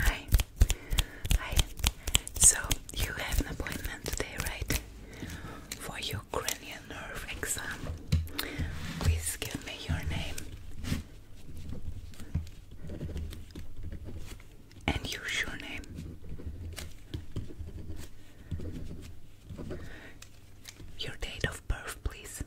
Hi. Hi. So you have an appointment today, right? For your cranial nerve exam. Please give me your name. And your surname. Your date of birth, please.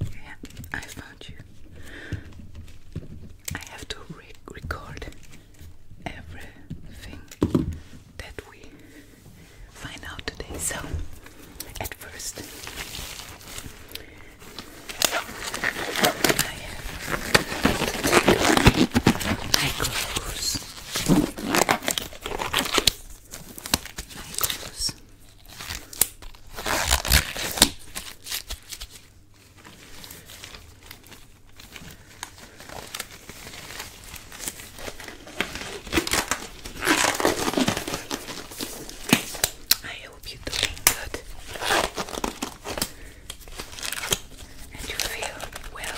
Yeah, I found you. I have to record everything that we find out today. So, at first, I have to take I hope you're doing good and you feel well.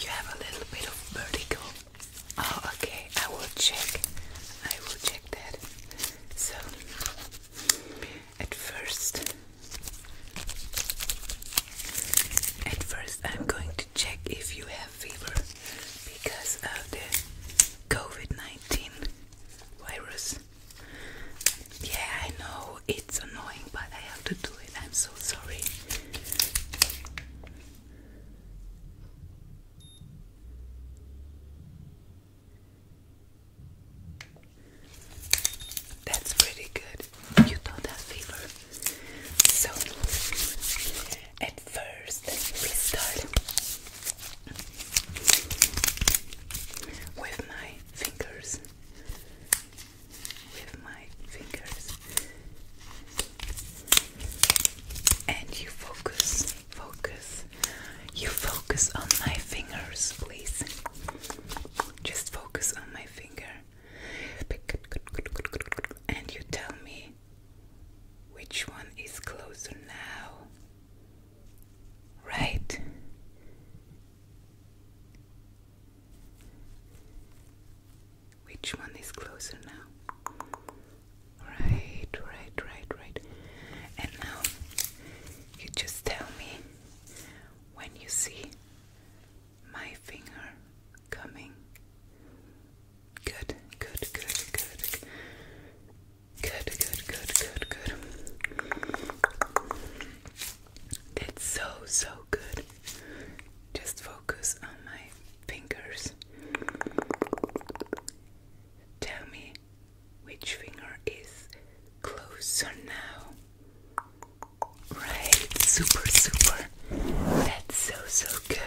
You have a little bit of vertigo. Oh, okay. I will check. I will check that. So, at first, at first, I'm going to check if you have fever because of the COVID 19 virus. Yeah, I know it's annoying, but I have to do it. I'm so sorry. That's pretty good. You don't fever. So, at first, we start with my fingers with my fingers and you focus focus you focus on my fingers please just focus on my finger and you tell me which one is closer now right which one is closer now? Right, right, right, right. And now you just tell me when you see my finger coming. Good, good, good, good. Good, good, good, good, good. That's so, so good. Just focus on my fingers. Tell me which finger is closer now. Right, super, super. That's so, so good.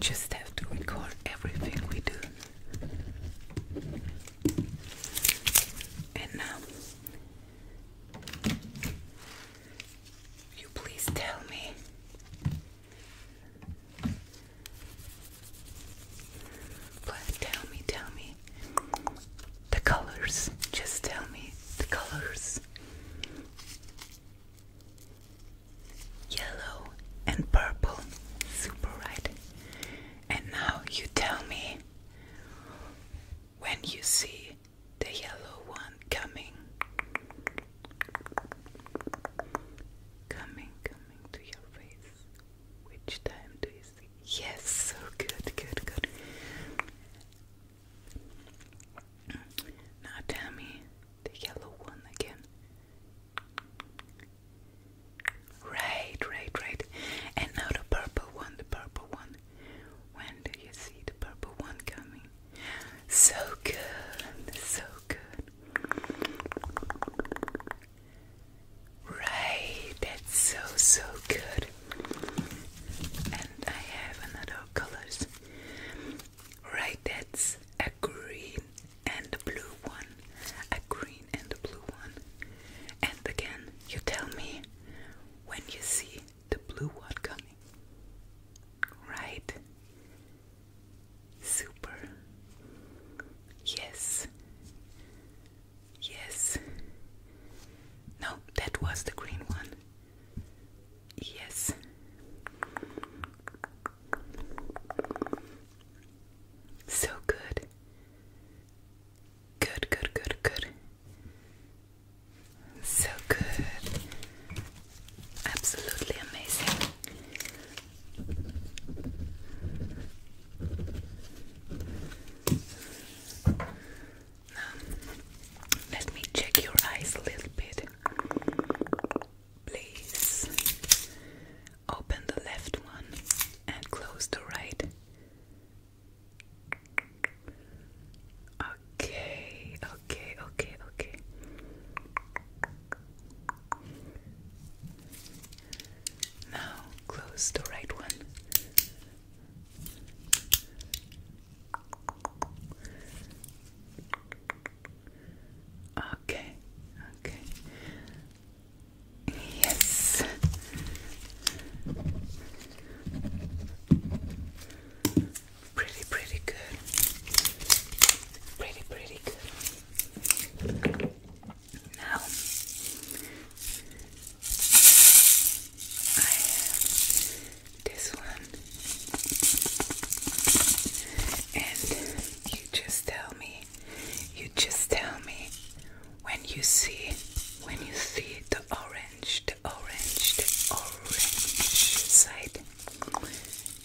Just have to record everything we do. And now, um, you please tell me please tell me tell me the colors just tell me the colors yellow and purple. Super bright. And now you tell me when you see the yellow one coming. Coming, coming to your face. Which time do you see? Yes, so good, good, good. Now tell me the yellow one again. Right, right, right. And now the purple one, the purple one. When do you see the purple one coming? So good, so good. Right, that's so, so good. And I have another colors. Right, that's a green and the blue one, a green and a blue one. And again, you tell me when you see the blue one coming. Right? Super. Yes. Yes. No, that was the green one. Yes. So good. Good, good, good, good. So good. Absolutely amazing. let me check your eyes a little bit please. Open the left one and close the right. Okay, okay, okay, okay. Now close the right one. Okay, okay. Yes. Pretty, pretty good. Pretty, pretty good. Now, I have this one. And you just tell me, you just tell me when you see, when you see the orange, the orange, the orange side.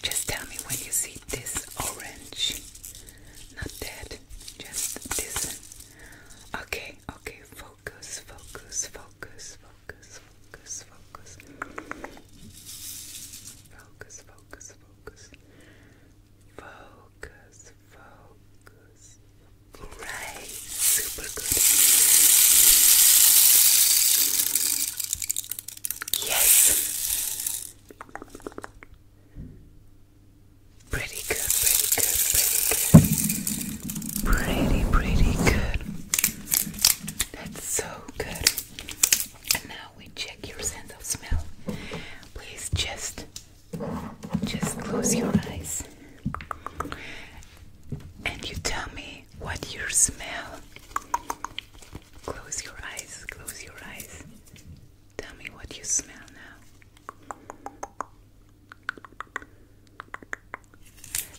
Just tell me when you see this orange, not that, just this. Okay, okay, focus, focus, focus, focus, focus, focus. Focus, focus, focus. Focus, focus. Great, super good. Yes. Pretty good, pretty good, pretty good. Pretty, pretty good. That's so good. And now we check your sense of smell. Please just just close your eyes. And you tell me what you smell. Close your eyes, close your eyes. Tell me what you smell now.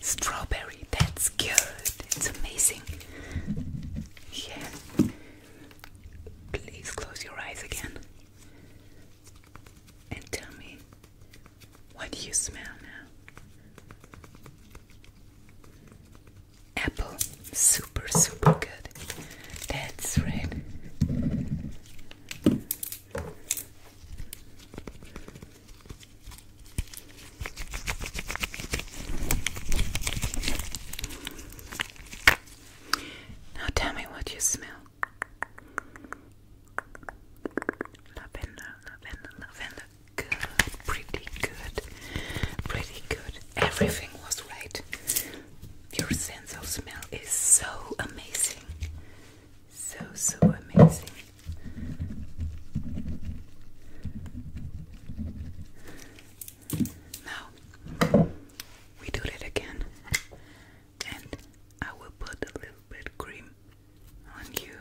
Strawberry, that's good. It's amazing. Yeah. Please close your eyes again and tell me what do you smell now? Apple, super, super good. That's right. Now tell me what you smell. Lavender, lavender, lavender. Good, pretty good, pretty good. Everything was right. Your sense of smell is so amazing. So, so amazing. Now we do it again, and I will put a little bit cream on you,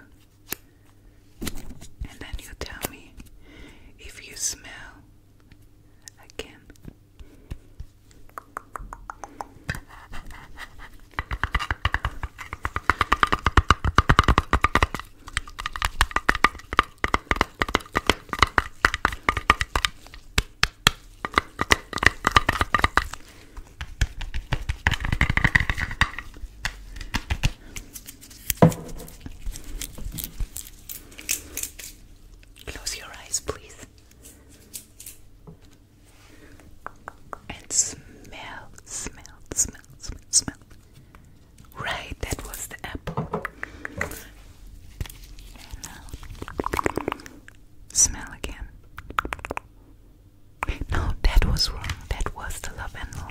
and then you tell me if you smell again. Close your eyes, please, and smell, smell, smell smell, smell, Right, that was the apple. Smell again. No, that was wrong. That was the lavender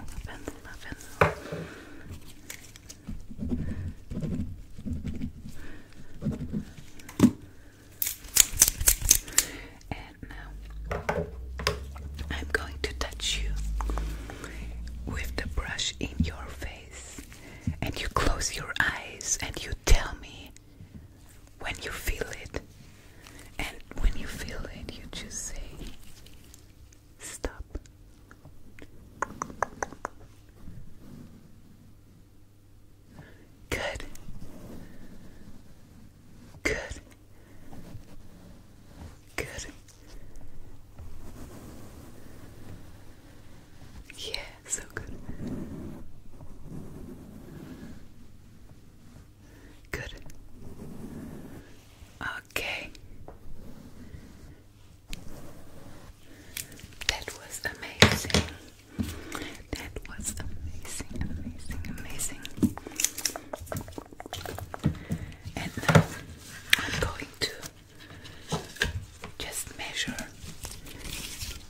now. I'm going to touch you with the brush in your face, and you close your eyes and you tell me when you feel it. And when you feel it, you just say, Stop. Good. Good. Good. Yeah, so good. Good. Okay. That was amazing. That was amazing, amazing, amazing. And now I'm going to just measure,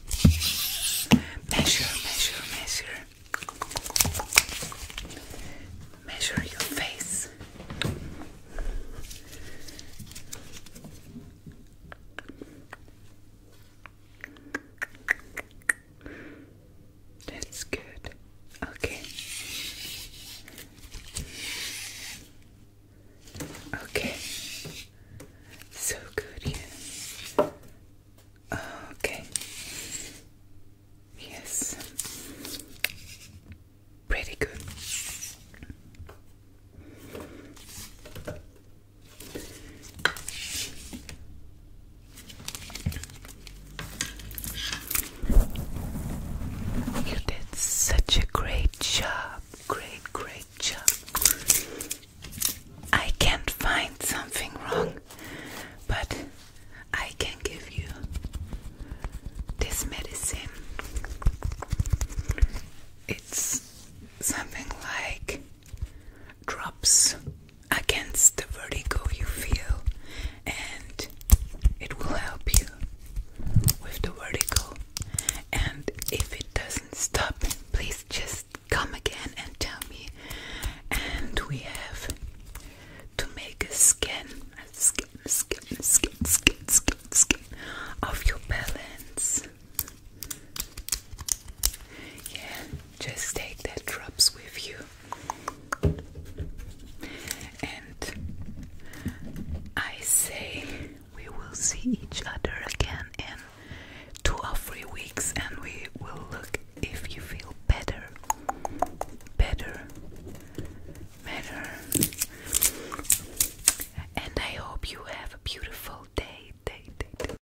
measure, measure, measure, measure your face. That's good. Okay. Okay. So good, yeah. Okay. Yes. Pretty good. You did such a great job, great, great job. I can't find something wrong, but I can give you this medicine. It's something like drops against the vertigo you feel, and it will help you with the vertigo. And if it doesn't stop, please just come again and tell me. And we have to make a skin, a scan, skin, scan, skin, scan, skin of your balance. Yeah, just take the drops with you. And I say we will see each other again in two or three weeks and we will look if you feel better. Better. Better. And I hope you have a beautiful day, day, day.